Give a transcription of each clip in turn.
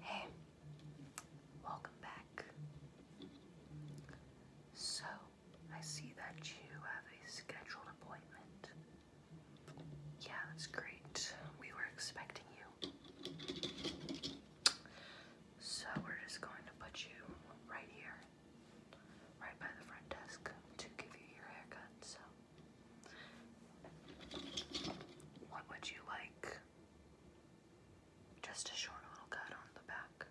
Hey, welcome back. So, I see that you have a scheduled appointment. Yeah, that's great. We were expecting you. So, we're just going to put you right here, right by the front desk, to give you your haircut. So, what would you like? Just a short little cut on the back.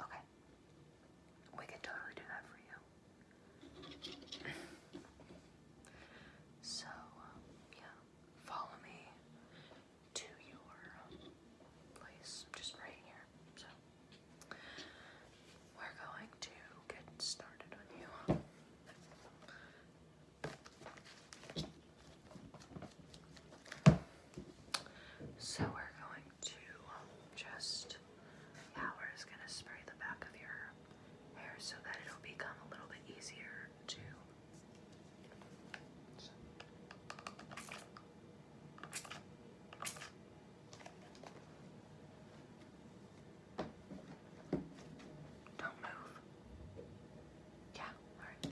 Okay. We can totally do that for you. so, um, yeah. Follow me to your place. just right here. So. We're going to get started on you. So we're going to um, just, yeah, we're just going to spray the back of your hair so that it'll become a little bit easier to. Don't move. Yeah, alright.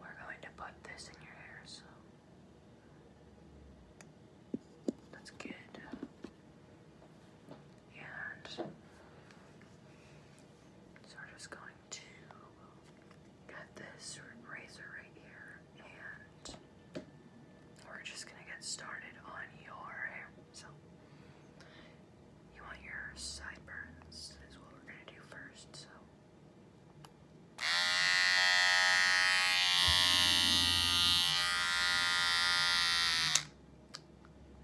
We're going to put this in your hair, so. That's good. And so we're just going to get this razor right here and we're just gonna get started on your hair. So, you want your sideburns, is what we're gonna do first. So,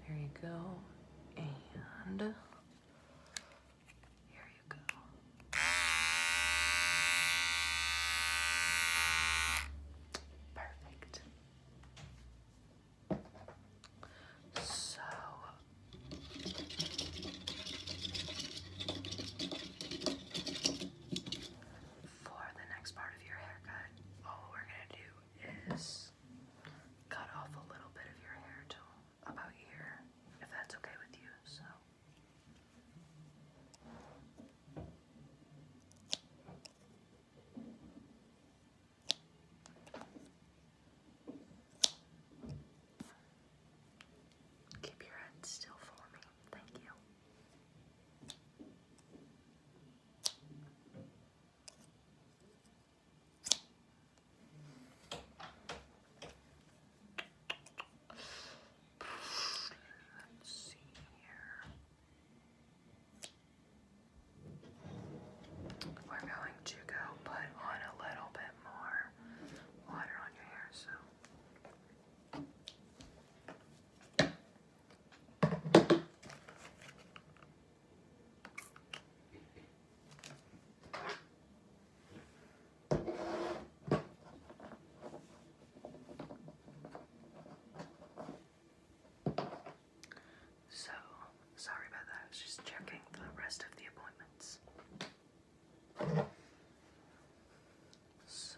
there you go, and here you go. Perfect. So for the next part of your haircut, all we're gonna do is cut off a little bit of your hair till about here, if that's okay with you. So Keep your head still for me. Thank you. Let's see here. We're going to go put on a little bit more water on your hair, so. So, sorry about that. I was just checking the rest of the appointments. So.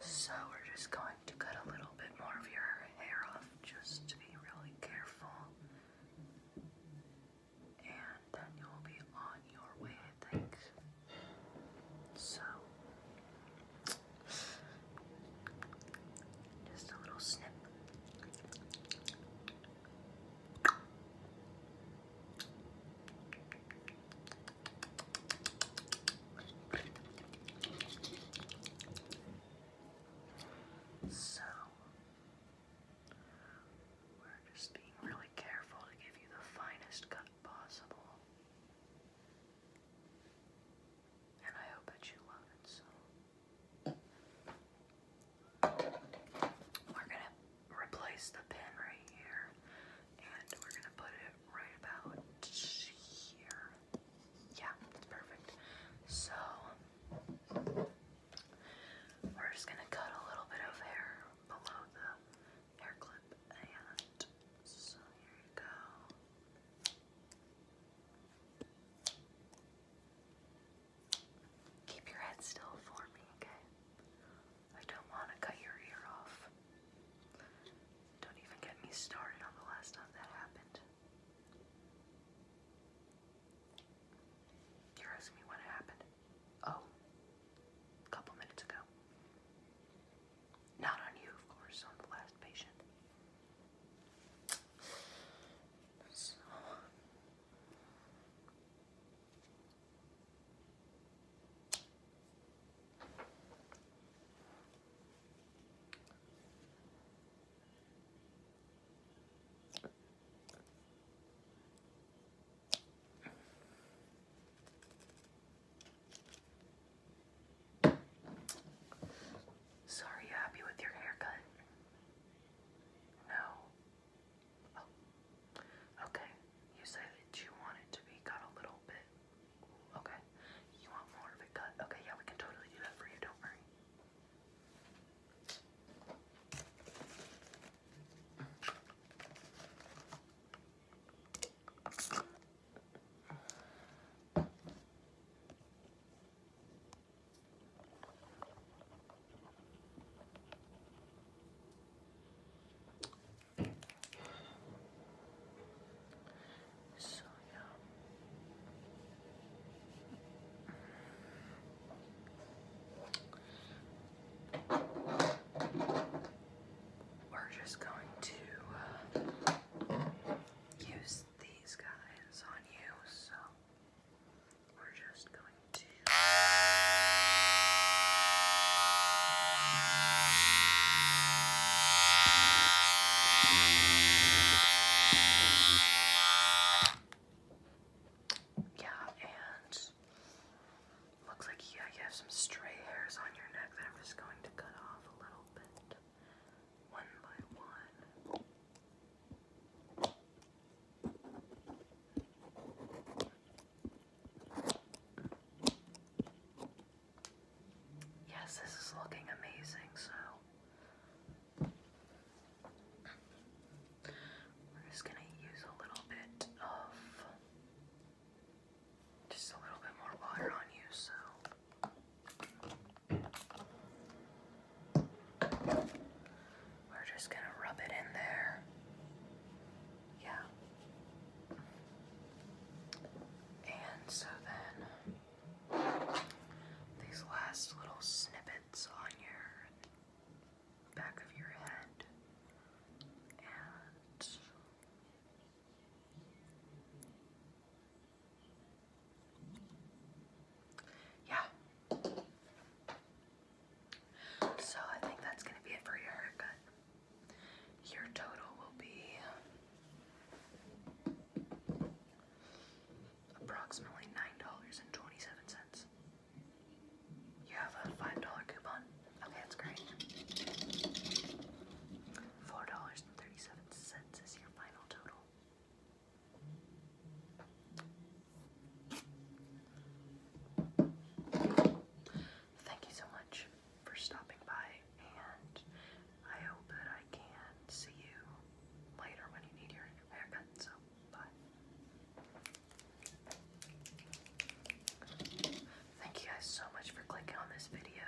So we're just going to cut a little bit more of your hair off just to be really careful. And then you'll be on your way, I think. So just a little snip. So, we're just being really careful to give you the finest cut possible. And I hope that you love it so. We're gonna replace the pin right here and we're gonna put it right about here. Yeah, that's perfect. So we're just gonna cut a little bit of hair below the hair clip and so here you go. Keep your head still for me, okay? I don't want to cut your ear off. Don't even get me started on the last time that happened. You're asking me when it happened? Oh, a couple minutes ago. Not on you, of course, on the last patient. So, Sorry, you happy with your haircut? No. Oh. Okay. You say that you want it to be cut a little bit. Okay. You want more of it cut? Okay, yeah, we can totally do that for you, don't worry. So yeah. We're just going to uh, use these guys on you, so we're just going to. Yeah, and looks like you, you have some stray hairs on your neck that I'm just going to cut off a little bit, one by one. Yes, this is looking amazing, so we're just going to use a little bit of just a little bit more water on you, so. We're just going to rub it in there. Yeah. And so then these last little snippets on your back of your head yeah. So I think that's going to be it for your haircut. Your total will be approximately $9.27. You have a $5 coupon? Okay, that's great. $4.37 is your final total. Thank you so much for stopping by, and I hope that I can see you later when you need your haircut. So, bye. Thank you guys so much for clicking on this video.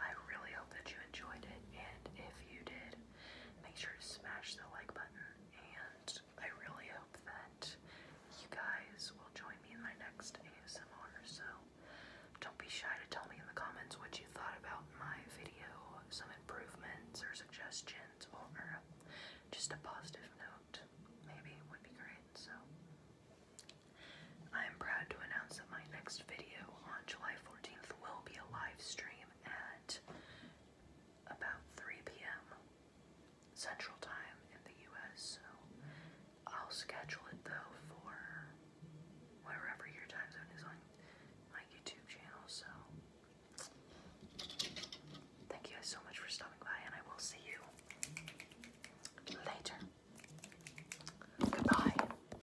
I really hope that you enjoyed it, and if you did, Make sure to smash the like button, and I really hope that you guys will join me in my next ASMR. So don't be shy to tell me in the comments what you thought about my video, some improvements or suggestions, or just a positive note. Maybe it would be great. So I am proud to announce that my next video on July 14th will be a live stream at about 3 p.m. Central Time in the U.S., so I'll schedule it though for wherever your time zone is on my YouTube channel. So, thank you guys so much for stopping by, and I will see you later. Goodbye.